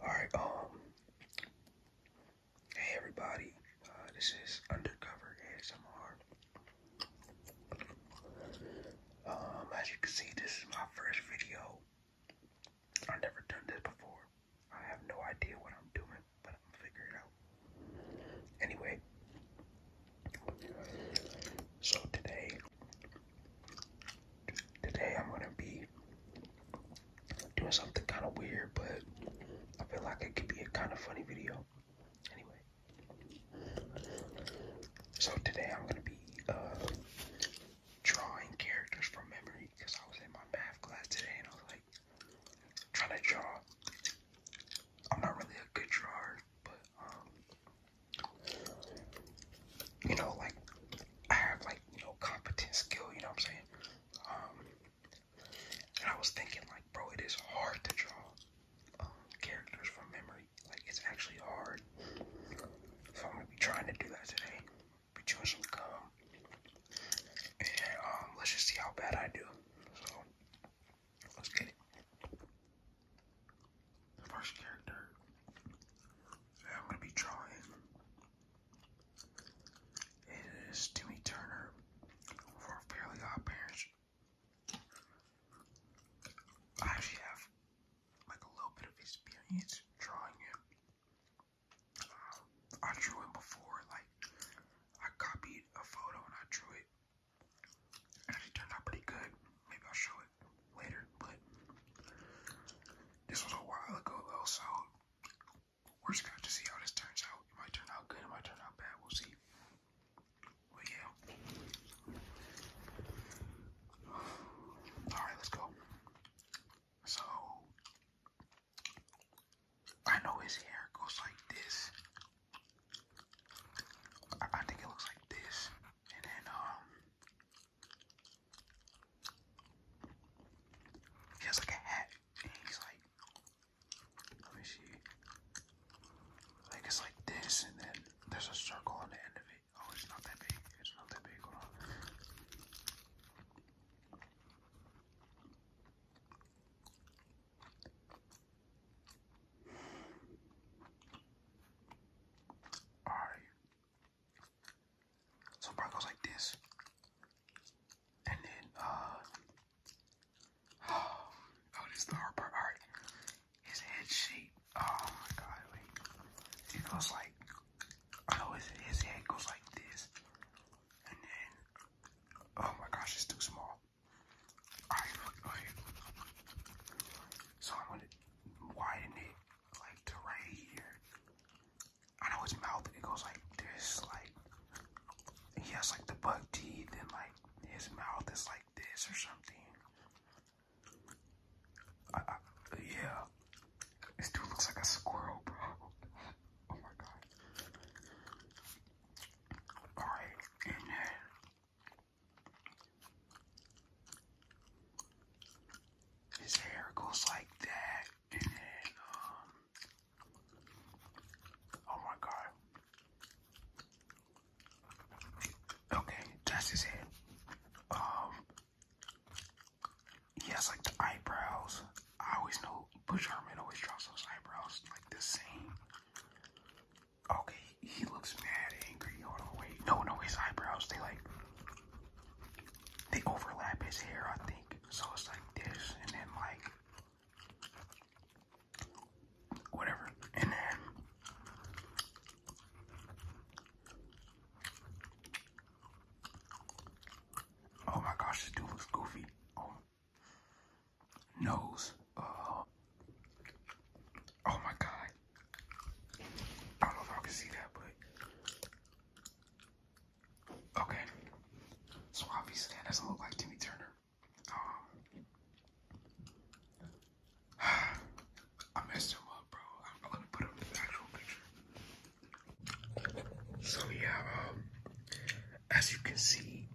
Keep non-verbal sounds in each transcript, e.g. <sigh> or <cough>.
Alright, um, hey everybody, uh, this is Undercover ASMR. Um, as you can see, this is my first video. I've never done this before. I have no idea what I'm doing, but I'm figuring it out. Anyway, so today Today I'm gonna be doing something kind of weird, but I feel like it could be a kind of funny video. Anyway, so today I'm gonna be uh, drawing characters from memory because I was in my math class today and I was like trying to draw. I'm not really a good drawer, but um, you know, like I have like, you know, competent skill, you know what I'm saying? Um and I was thinking like, bro, it is hard to draw um, characters from memory. Like it's actually hard. So I'm gonna be trying to do that today. Be chewing some gum. And um let's just see how bad I do. So let's get it the first character that I'm going to be drawing. It is Timmy Turner for Fairly Odd Parents. I actually have like a little bit of experience drawing him. Um, I drew him before, like I copied a photo and I drew it actually turned out pretty good. Maybe I'll show it later, but this was a while ago though, so we're just gonna see how this turns out. It might turn out good, it might turn out bad, we'll see. But yeah. Alright, let's go. So I know his hair goes like this, I think it looks like this, and then um, he has like a hat, and he's like, let me see, like it's like this, and then there's a circle on the end of it. Oh, it's not that big. It's not that big. Hold on. All right. So bar goes like this, and then uh, <sighs> oh, this is the hard part. All right, his head shape. Oh my god, wait. It goes like, I his his head goes like this, and then oh my gosh, it's too small. So I'm gonna widen it like to right here. I know his mouth, it goes like this, like he has like the buck teeth and like his mouth is like this or something. yeah. This dude looks like a squirrel, bro. <laughs> Oh my god. Alright, and his hair goes like that, and then, um, oh my god. Okay, that's his head. Um, he has like the eyebrows. I always know Bush Herman always draws those eyebrows like the same. Okay, he looks mad angry. Hold on, wait. No, no, his eyebrows, they like, they overlap his hair, I think. So it's like this, and then like, whatever. And then, oh my gosh, this dude looks goofy. Oh nose. Uh, oh my God. I don't know if y'all can see that, but okay. So obviously that doesn't look like Timmy Turner. Um, <sighs> I messed him up, bro. I'm gonna put up the actual picture. So yeah, um, as you can see,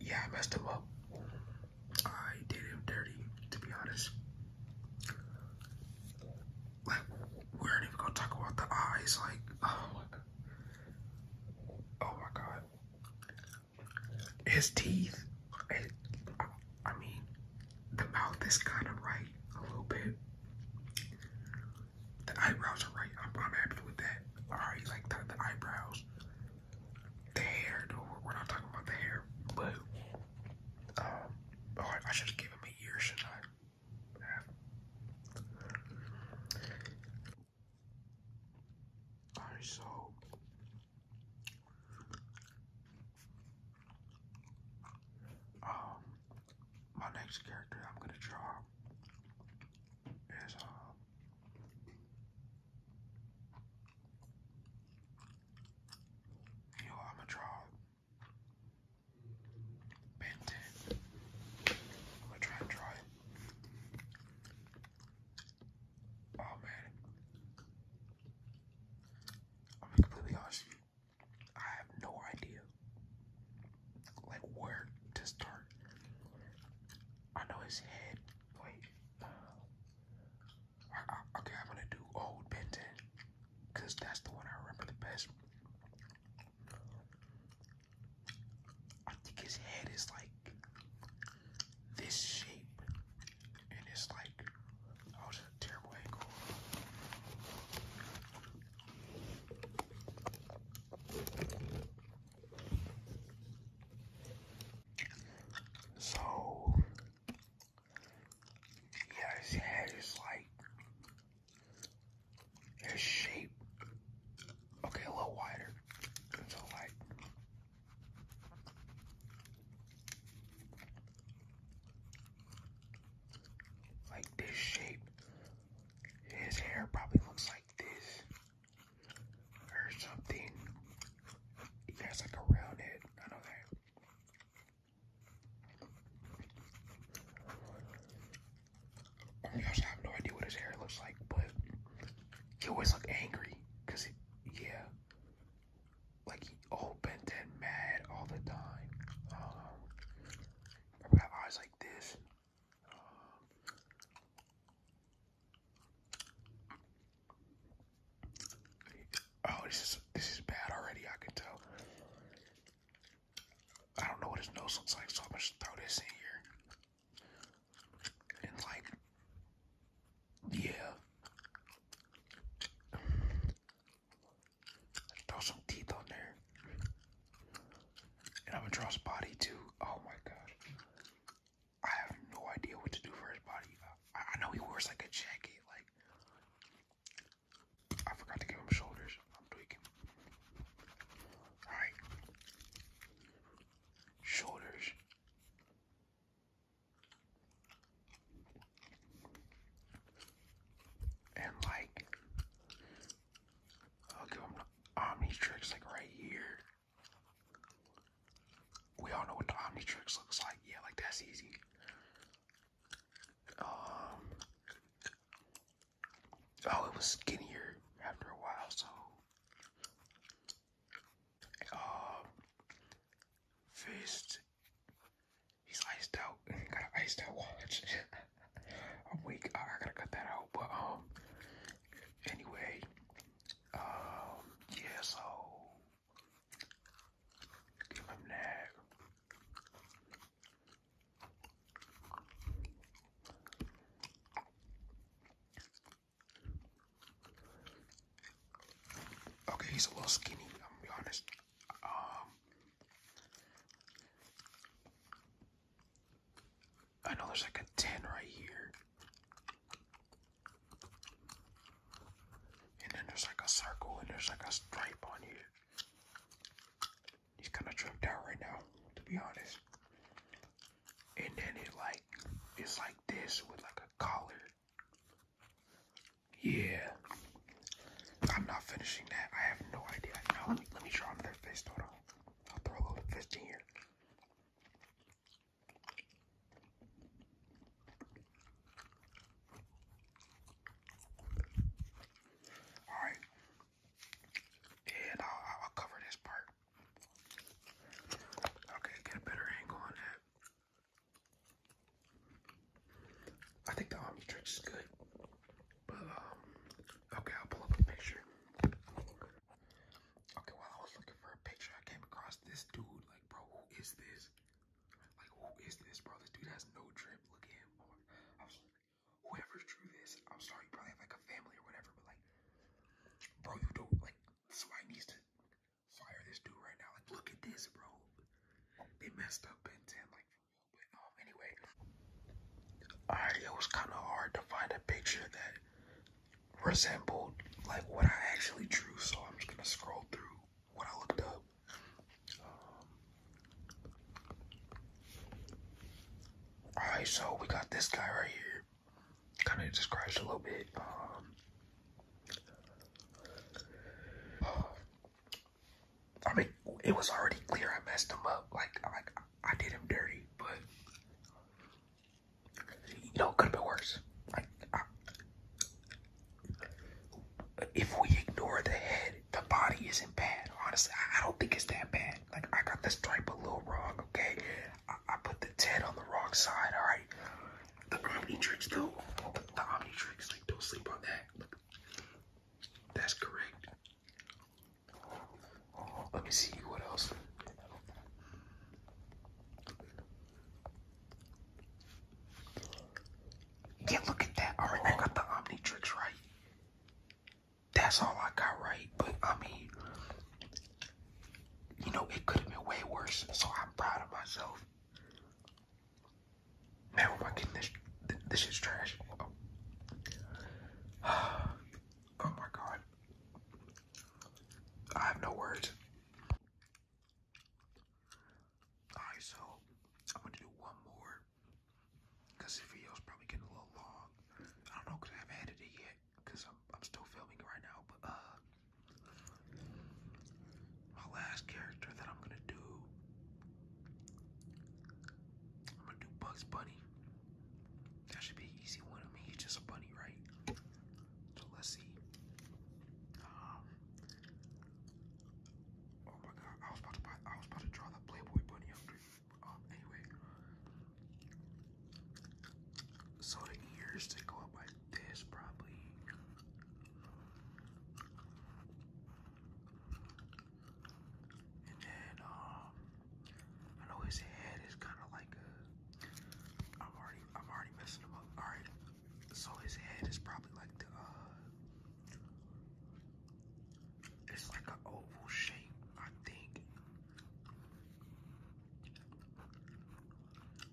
yeah, I messed him up. I did him dirty, to be honest. we aren't even gonna talk about the eyes. Like, oh my god. Oh my god. His teeth. I mean, the mouth is kind of right a little bit. The eyebrows are right. I'm, happy with that. All right, like the, the eyebrows. The hair, though. We're not talking about the hair, but um, oh, I should have him a year, should I? Alright, so um, my next character I'm gonna draw uh, yo, I'm a draw Ben 10. I'm gonna try and draw Oh man, I'm completely honest. I have no idea like where to start. I know his head. Wait. Uh, okay, I'm gonna do Old Benton because that's the one I remember the best. I think his head is like this shape, and it's like oh, terrible angle. So, yeah, his head is like his shape. Okay, a little wider. So like. Like this shape his hair probably looks like this or something. He has like a round I know that. I mean, have no idea what his hair looks like, but he always looked angry. Cause he, yeah, like he opened and mad all the time. Um, I eyes like this. Oh, this is this is bad already. I can tell. I don't know what his nose looks like, so I'm just throw this in here. And like, yeah. Throw some teeth on there. And I'm gonna draw his body too. Oh my gosh. I have no idea what to do for his body. I, I know he wears like a jacket, like I forgot to give him shoulders. I'm tweaking. Alright. Shoulders and like I'll give him the like right here. We all know what the Omnitrix looks like. Yeah, like that's easy. Um Oh, it was skinnier after a while, so um Fist He's iced out. <laughs> Got an iced out watch. I'm <laughs> weak. I, gotta cut that out. But um, anyway, um, yeah. So give him that. Okay, he's a little skinny. I'm gonna be honest. Um, I know there's like a 10 right here. And then there's like a circle and there's like a stripe on here. He's kind of tripped out right now, to be honest. And then it like, it's like this with like a collar. Yeah. I'm not finishing that. I have no idea. Now let me let me draw another fist. Hold I'll throw a little fist in here. Alright. And I'll cover this part. Okay, get a better angle on that. I think the army Omnitrix is good, but um, okay, I'll pull up a picture. Okay, while I was looking for a picture, I came across this dude. Like, bro, who is this? Like, who is this, bro? This dude has no drip. Look at him. Or, Whoever drew this, I'm sorry, you probably have like a family or whatever, but like, bro, you don't like. Somebody fire this dude right now. Like, look at this, bro. They messed up Ben 10, like, for real. But, um, anyway. Alright, it was kind of hard to find a picture that resembled, like, what I actually drew. So I'm just going to scroll through what I looked up. Um, alright, so we got this guy right here. Kind of describes a little bit. Um, I mean, it was already clear I messed him up. Like, like I did him dirty, but you know, it could have been worse. Like, if we ignore the head, the body isn't bad. Honestly, I, don't think it's that bad. Like, I got the stripe a little wrong. Okay, I, put the ten on the wrong side. All right, the Omni Tricks, though, the, Omni Tricks, like don't sleep on that. Look, that's correct. Let me see what else. Yeah, look at that. Alright, I got the Omni Tricks right. That's all I got right, but I mean, you know, it could have been way worse, so I'm proud of myself. Man, oh my goodness, this is trash. <sighs> Oh. my god. I have no words. Alright, so I'm gonna do one more. Cause the video's probably getting a little long. I don't know cause I haven't edited yet. Cause I'm I'm still filming right now, but uh my last character that I'm gonna do, I'm gonna do Bugs Bunny. That should be an easy one. of me. he's just a bunny, right? So let's see. Um, oh my God! I was about to buy, I was about to draw the Playboy Bunny um, anyway, so the ears they go up this probably and then um I know his head is kind of like a I'm already I'm already messing him up. All right, so his head is probably like the uh, it's like a oval shape, I think.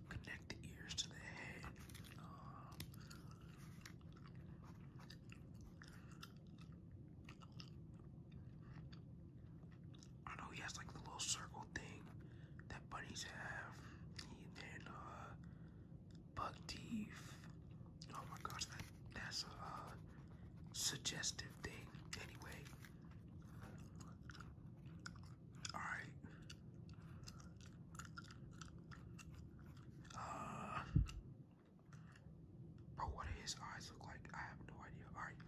Connect the ears to the head. Um, I know he has like the little circle thing that bunnies have. And then uh, bug teeth. Oh my gosh, that that's a uh, suggestive thing anyway. All right. Uh, bro, what do his eyes look like? I have no idea. All right.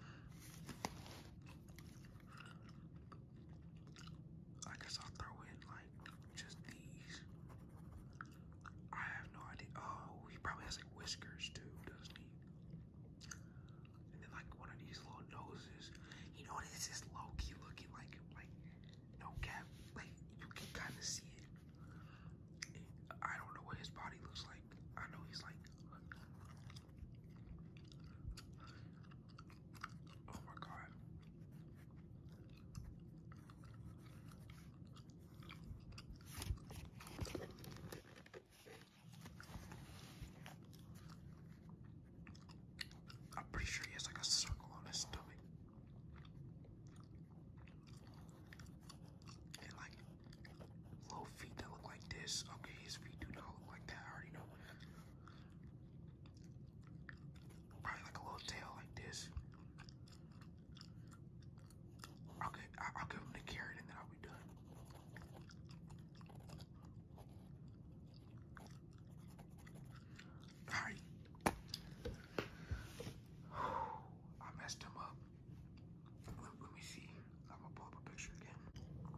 I guess I'll throw in like just these. I have no idea. Oh, he probably has like whiskers too, doesn't he? and then like one of these little noses. You know, this is Loki looking like like no cap. Like you can kind of see it. I don't know what his body looks like. I know he's like. Oh my god. I'm pretty sure he has like a circle on his stomach. And like little feet that look like this. Okay, his feet do not look like that. I already know. Probably like a little tail like this. i I'll give him the carrot and then I'll be done. I messed him up. Let, me see. I'm gonna pull up a picture again.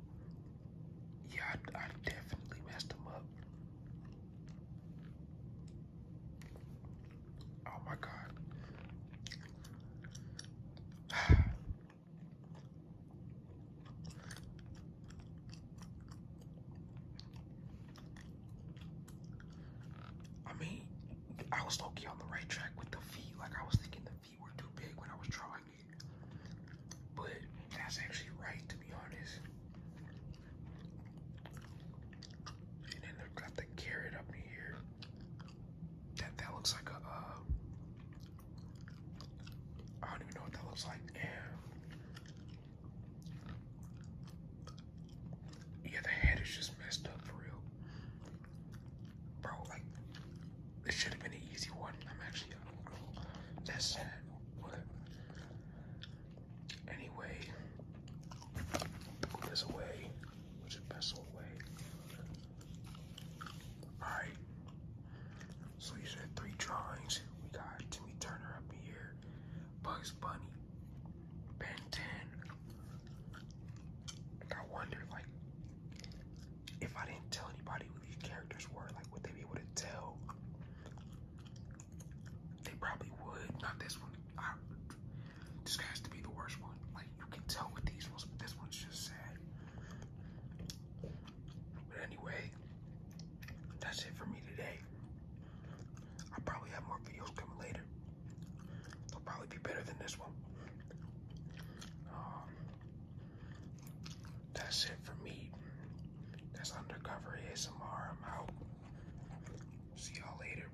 Yeah, I definitely messed him up. Oh my god. I mean, I was looking on the right track with the feet. Like, I was thinking the feet were too big when I was trying it. But that's actually right, to be honest. And then they've got the carrot up here. That that looks like a uh, I don't even know what that looks like. And yeah, the head is just messed up for real. Bro, like this should have been an easy one. I'm actually uh, that's sad. anyway, put this away. Which is best away. Alright. So these are three drawings. We got Timmy Turner up here, Bugs Bunny, Ben 10. I wonder like if I didn't tell anybody who these characters were, like would they be able to tell? They probably would. Not this one. I this has to be the worst one. Like you can tell with these ones, but this one's just sad. But anyway, that's it for me today. I probably have more videos coming later. They'll probably be better than this one. Um, that's it for me. That's undercover ASMR. I'm out. See y'all later.